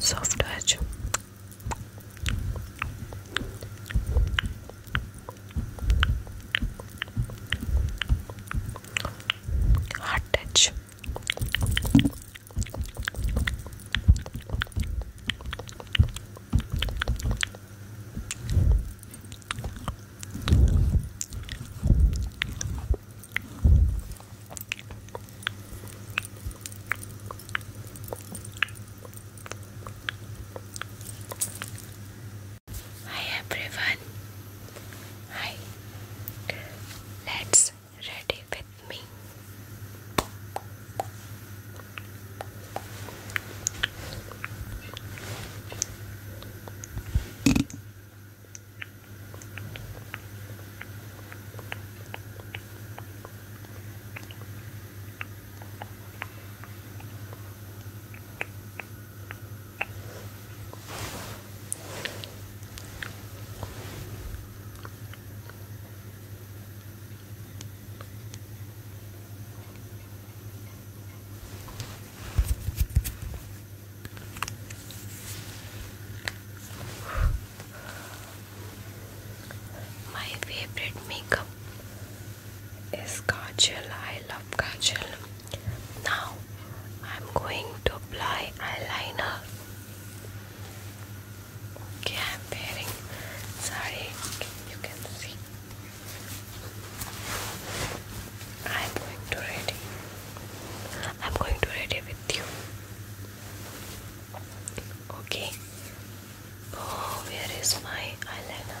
Soft touch. Hard touch. Hi everyone. Hi. Let's ready with me. My favorite makeup is Kajal. I love Kajal. Now I'm going to apply eyeliner. Okay, I'm wearing sari. You can see. I'm going to ready. I'm going to ready with you. Okay. Oh, where is my eyeliner?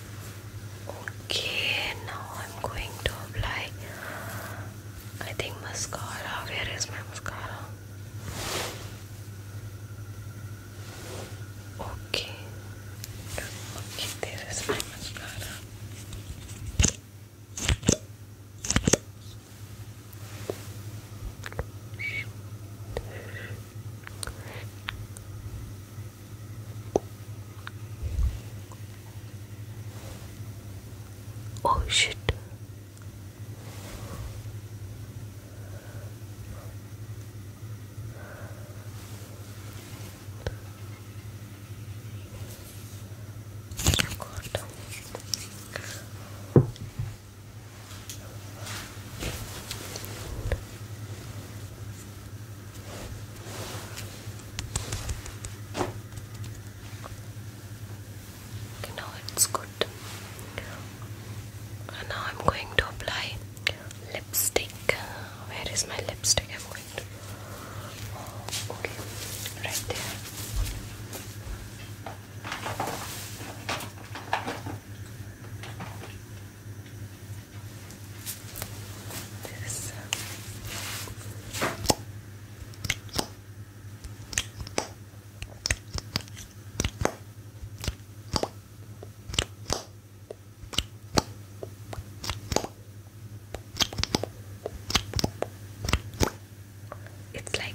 Okay, now I'm going to apply. I think mascara. Where is my mascara? Okay. Okay, there is my mascara. Oh shit. God. Okay, now it's good. And now I'm going to apply lipstick. Where is my lipstick? I'm going oh, okay, right there this. It's like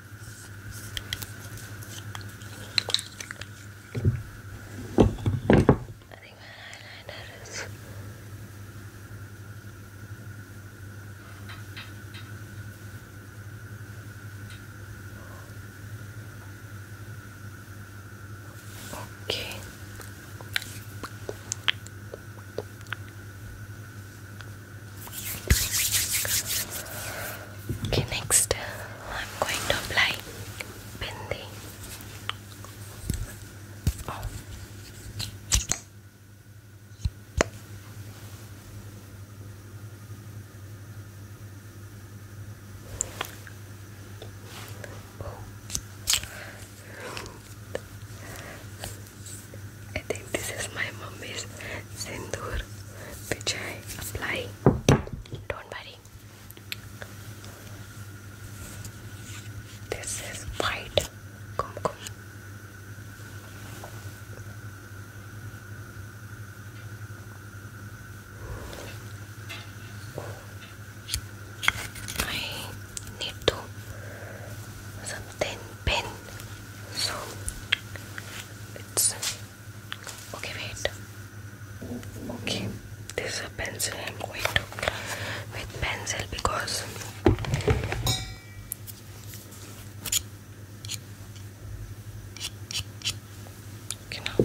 I think my eyeliner is okay. Okay, next I'm going to apply bindi. Oh. I think this is my mummy's sindoor which I apply don't worry this is white kumkum I need to some thin so it's Okay, wait. Okay, this is a pencil. I'm going to with pencil because okay now.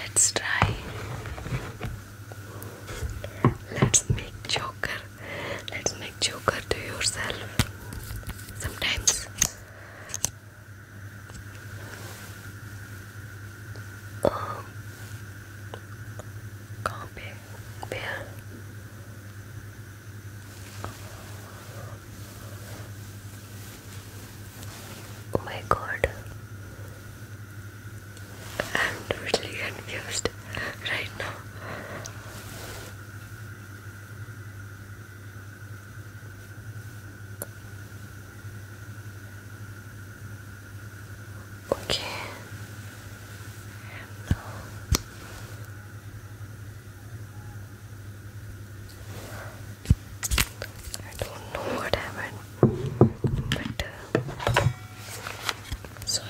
let's try. Let's make joker. Let's make joker to yourself. Sometimes um, can't Oh my god, I'm totally confused right now. Okay. And now I don't know what happened but uh, sorry.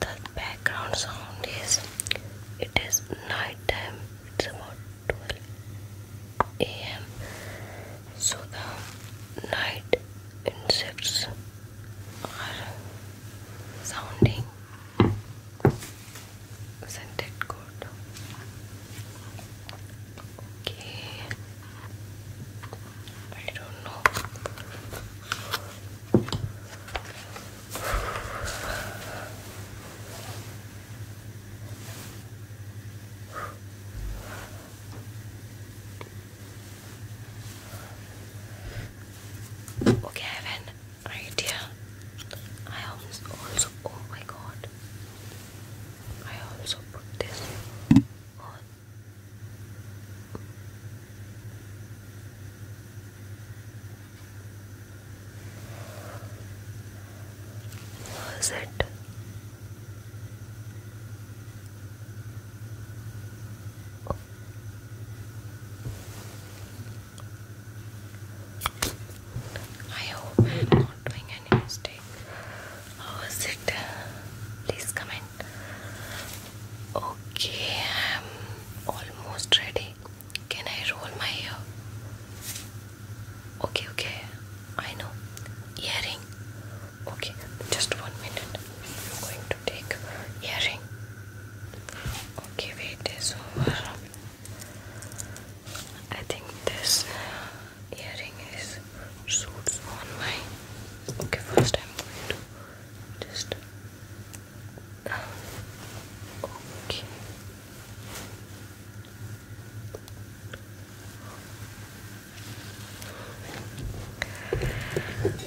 The background sound is it is night time, it's about 12 am. So the night insects or sounding. is good? Okay. I don't know. Okay, I have an I also, oh my god, I also put this on. Was it? I hope I'm not doing any mistake. How is it? Please comment. Okay, I'm almost ready. Can I roll my hair? Okay, okay. I know. Earring. Okay, just one minute. I'm going to take earring. Okay, wait is over. I think this earring is suits on my. Okay, first I'm going to just. Okay.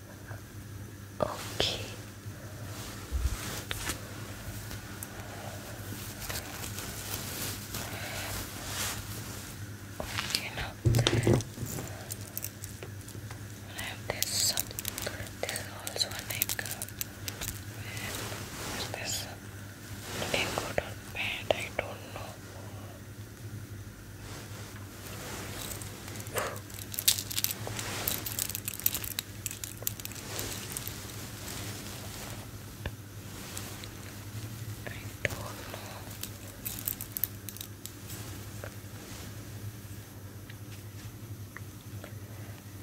Okay. Okay, now that some this also an anchor and this anchor or pad I don't know I don't know.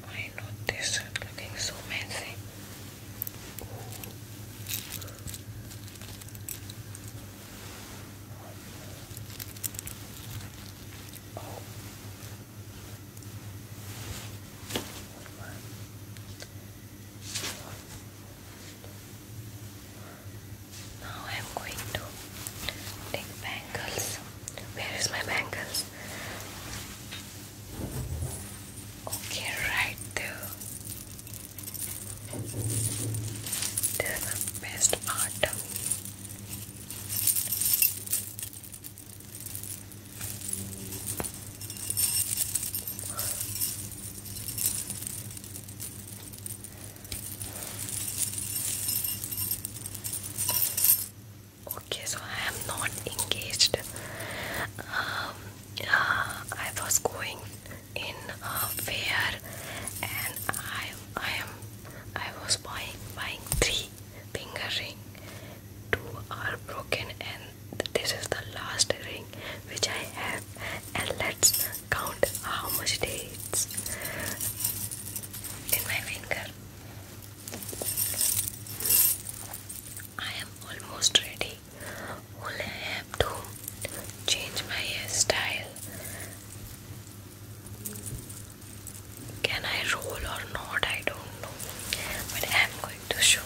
I know this looking so messy. Now I am going to take bangles. Where is my bangles? Okay, right there. This is the best part. Okay, so I am not engaged. Um, uh, I was going in a uh, fair, and I I am I was buying buying three finger ring. Two are broken and this is the last ring which I have and let's count how much days in my finger. I am almost ready. Only I have to change my hairstyle. Can I roll or not? I don't know. But I am going to show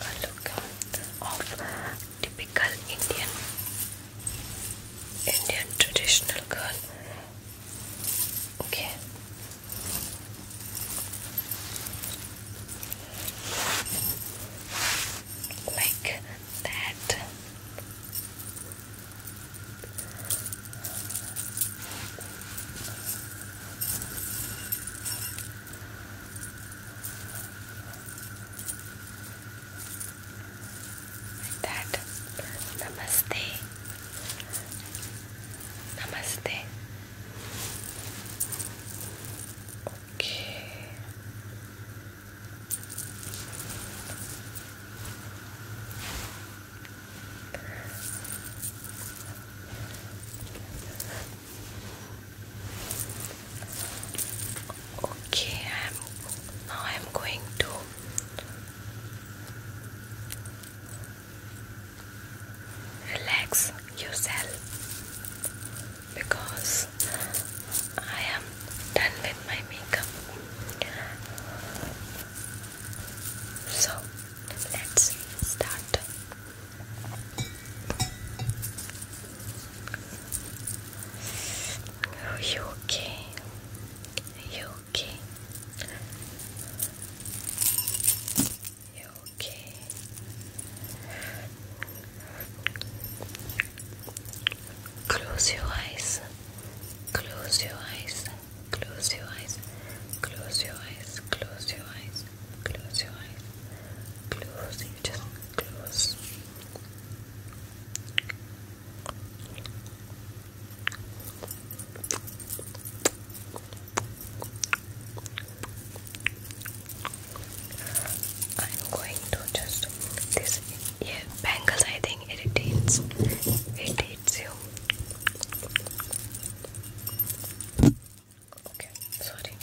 a look of typical Indian Indian traditional girl. Okay. Like that that. Namaste. Namaste. Okay. Okay, I'm now I'm going to relax yourself because I am done with my makeup. So let's start. Are you okay? Are you okay? You okay? Close your eyes. Close your eyes. Close your eyes. Close your eyes. Close your eyes. Close your eyes. Close. You just I'm going to just this yeah bangles I think something irritates irritates you. Okay, sorry.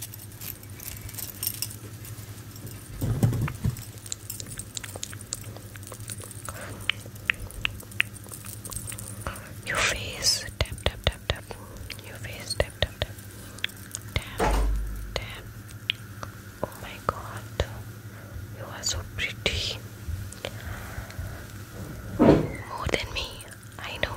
Your face tap tap tap tap. Your face tap tap tap. Tap tap. Oh my god, you are so pretty. More than me, I know.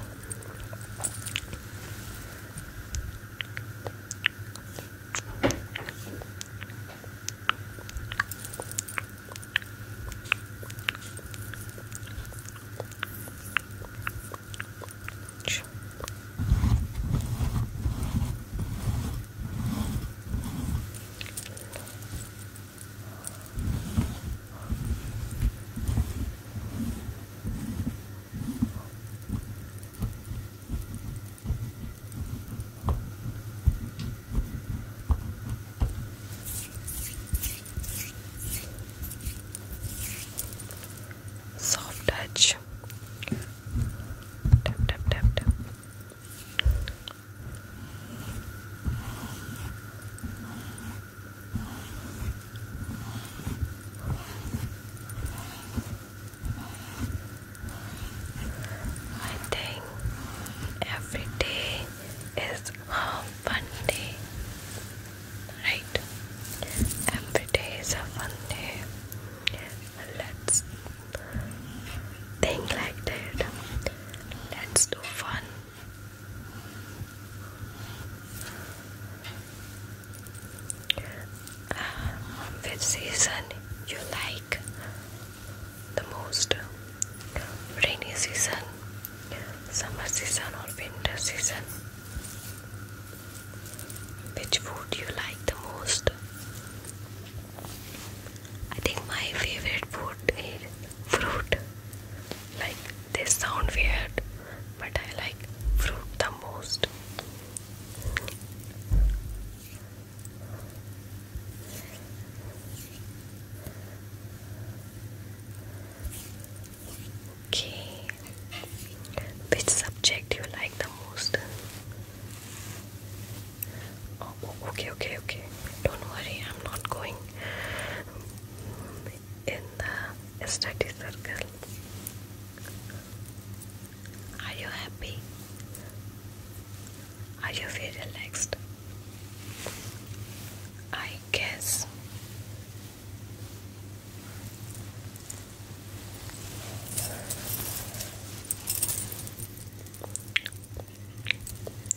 Soft touch. Tap, tap, tap, tap. I think every day is a fun day, right? Every day is a fun day. Let's Think like that. Let's do fun. Um, which season you like the most? Rainy season, summer season, or winter season? Which food you like the most? I think my favorite food is fruit. Like this sound weird, but I like fruit the most. Okay. Which subject you like the most? okay, okay, okay. Don't worry, I'm not going in the study circle. Are you happy? Are you very relaxed? I guess.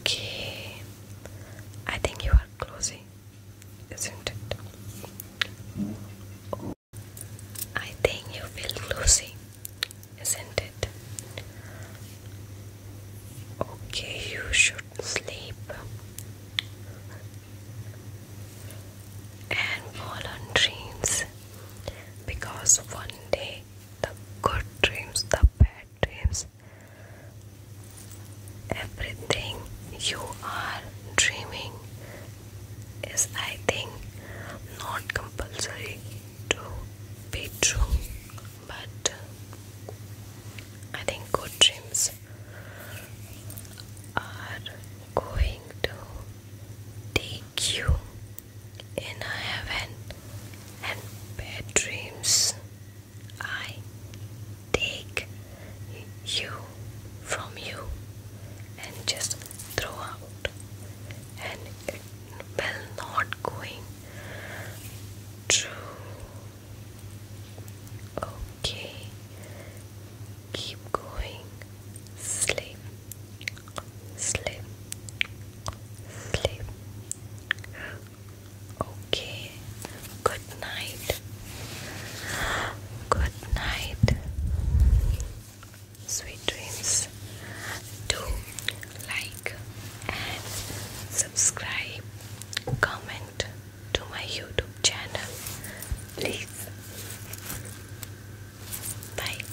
Okay, I think you are closing, isn't it? I think you feel closing, isn't it? Okay, you should sleep and fall on dreams because one day the good dreams, the bad dreams, everything you are dreaming is, I think, not compulsory to be true, but I think good dreams are going to take you in heaven and bad dreams. I take you from you and just throw out and it will not going true okay keep going sleep sleep, sleep. Okay, good night, good night, sweet dreams. Do like and subscribe, comment to my YouTube channel, please. Bye.